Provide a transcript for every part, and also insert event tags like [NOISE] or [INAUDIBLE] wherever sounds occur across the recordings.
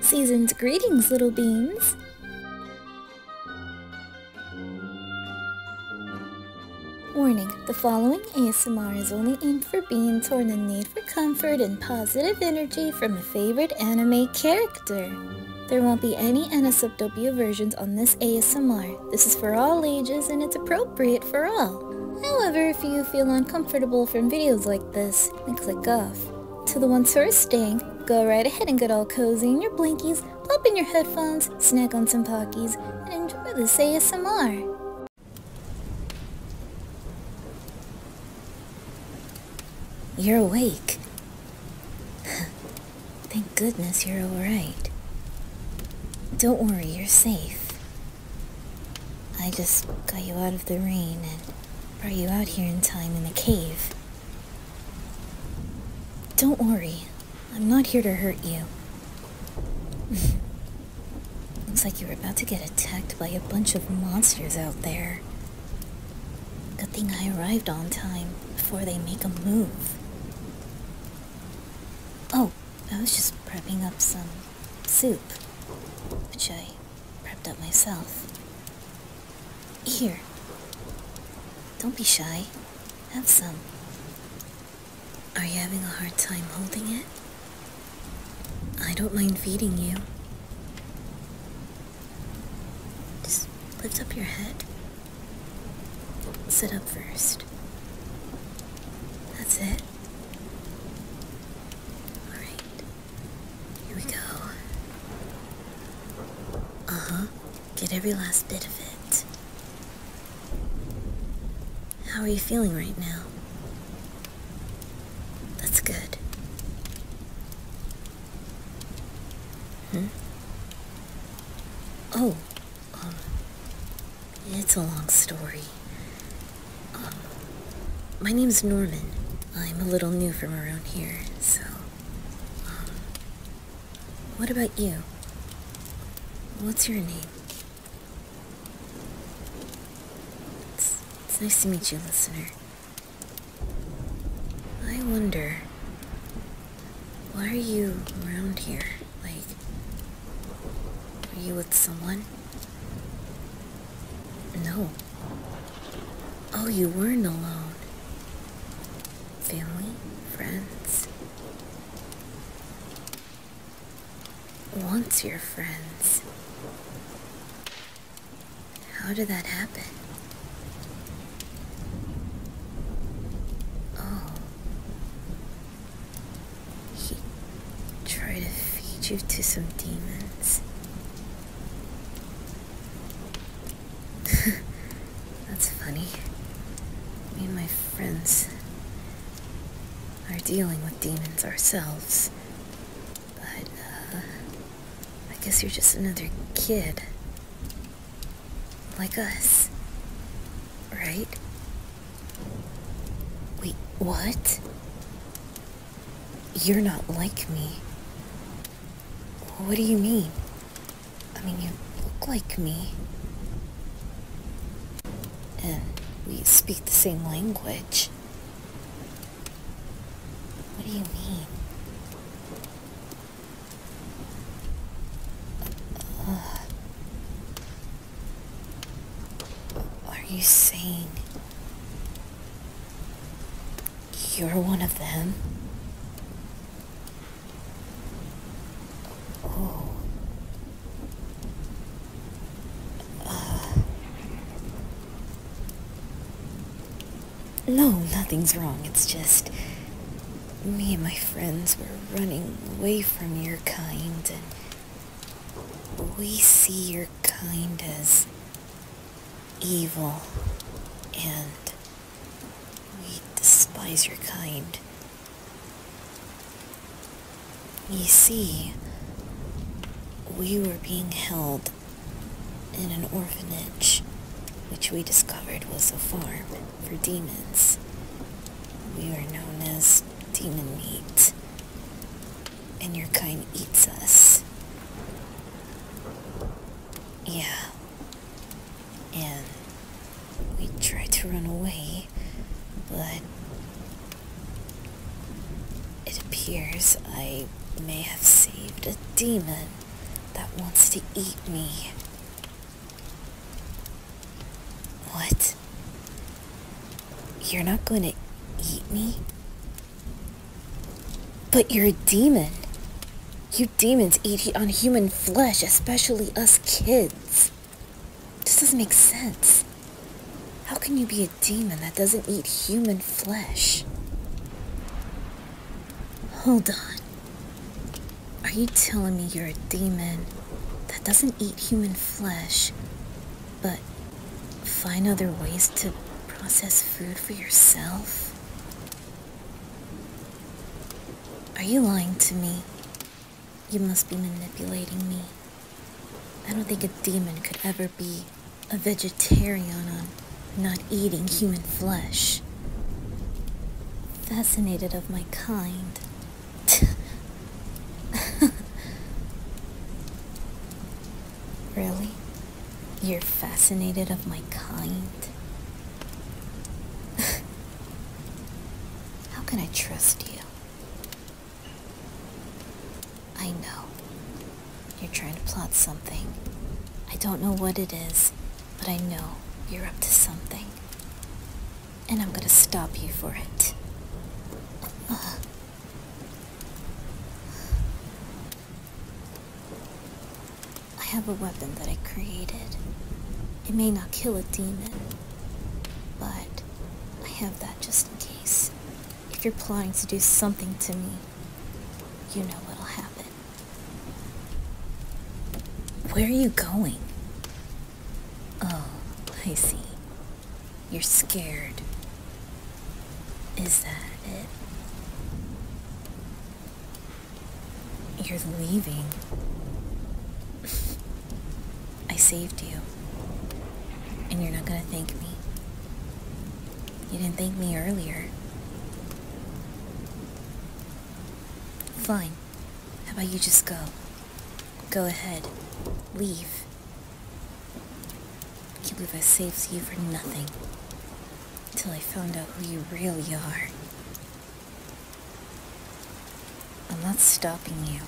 Season's greetings, little beans. Warning, the following ASMR is only aimed for beans who are in the need for comfort and positive energy from a favorite anime character. There won't be any NSFW versions on this ASMR. This is for all ages and it's appropriate appropriate for all. However, if you feel uncomfortable from videos like this, then click off. To the ones who are staying, go right ahead and get all cozy in your blankies, pop in your headphones, snack on some Pockies, and enjoy the ASMR. You're awake. [LAUGHS] Thank goodness you're alright. Don't worry, you're safe. I just got you out of the rain and brought you out here in time in the cave. Don't worry, I'm not here to hurt you. [LAUGHS] Looks like you were about to get attacked by a bunch of monsters out there. Good thing I arrived on time before they make a move. Oh, I was just prepping up some soup, which I prepped up myself. Here. Don't be shy. Have some. Are you having a hard time holding it? I don't mind feeding you. Just lift up your head. Sit up first. That's it. Alright. Here we go. Uh huh. Get every last bit of it. How are you feeling right now? That's good. Hmm? Oh, um, it's a long story. Um, my name's Norman. I'm a little new from around here, so. Um, what about you? What's your name? It's, it's nice to meet you, listener. I wonder, why are you around here? Like, are you with someone? No. Oh, you weren't alone. Family, friends. Once your friends. How did that happen? Oh. He tried to feed you to some demons. [LAUGHS] That's funny. Me and my friends are dealing with demons ourselves. But, uh, I guess you're just another kid. Like us. Right? Wait, what? You're not like me. What do you mean? I mean, you look like me. And we speak the same language. What do you mean? Uh, are you sane? you're one of them? Oh. Uh. No, nothing's wrong. It's just me and my friends were running away from your kind and we see your kind as evil and we despise your kind. You see, we were being held in an orphanage, which we discovered was a farm for demons. We were known as demon meat and your kind eats us. Yeah. And we try to run away, but it appears I may have saved a demon that wants to eat me. What? You're not going to eat me? But you're a demon. You demons eat on human flesh, especially us kids. This doesn't make sense. How can you be a demon that doesn't eat human flesh? Hold on. Are you telling me you're a demon that doesn't eat human flesh, but find other ways to process food for yourself? Are you lying to me? You must be manipulating me. I don't think a demon could ever be a vegetarian on not eating human flesh. Fascinated of my kind, [LAUGHS] really? You're fascinated of my kind? [LAUGHS] How can I trust you? I know. You're trying to plot something. I don't know what it is, but I know you're up to something. And I'm gonna stop you for it. I have a weapon that I created. It may not kill a demon, but I have that just in case. If you're planning to do something to me, you know what'll happen. Where are you going? Oh, I see. You're scared. Is that it? You're leaving. [LAUGHS] I saved you. And you're not gonna thank me. You didn't thank me earlier. Fine. How about you just go? Go ahead. Leave. I can't believe I saved you for nothing until I found out who you really are. I'm not stopping you.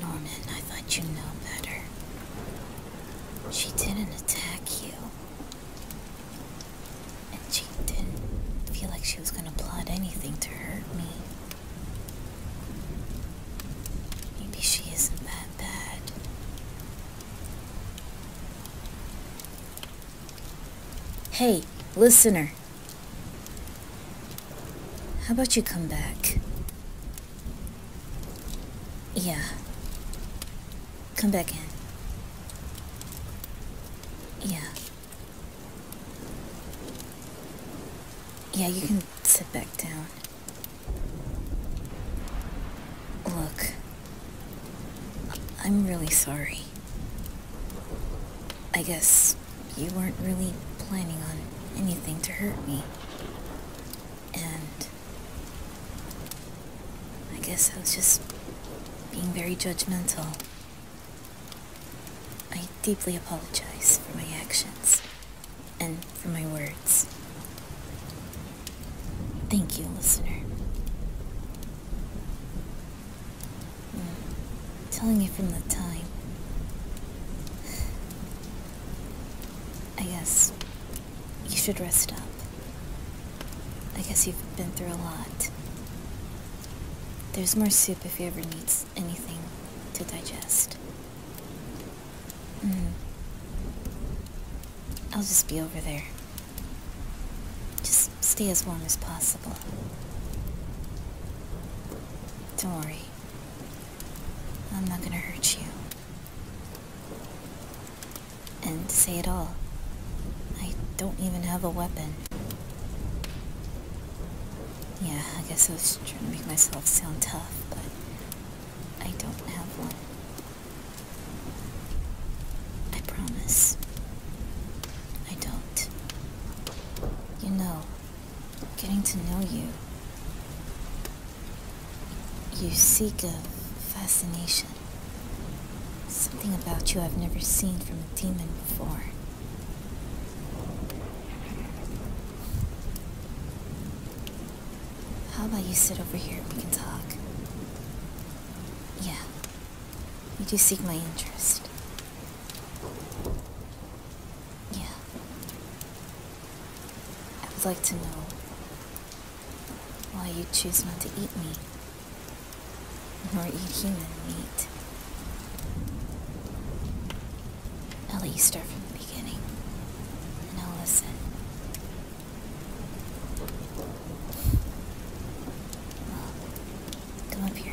Norman, I thought you know better. She didn't attack you. And she didn't feel like she was gonna plot anything to hurt me. Maybe she isn't that bad. Hey, listener. How about you come back? Yeah. Come back in. Yeah. Yeah, you can sit back down. Look. I'm really sorry. I guess you weren't really planning on anything to hurt me. And I guess I was just being very judgmental. I deeply apologize for my actions and for my words. Thank you, listener. Hmm telling you from the time. I guess you should rest up. I guess you've been through a lot. There's more soup if you ever need anything to digest. Mm-hmm. I'll just be over there. Just stay as warm as possible. Don't worry. I'm not gonna hurt you. And say it all, I don't even have a weapon. Yeah, I guess I was trying to make myself sound tough, but I don't have one. I promise. I don't. You know, getting to know you. You seek a fascination. Something about you I've never seen from a demon before. How about you sit over here and we can talk? Yeah. You do seek my interest. Yeah. I would like to know why you choose not to eat me, nor eat human meat. I'll let you start from the beginning, and listen. come up here.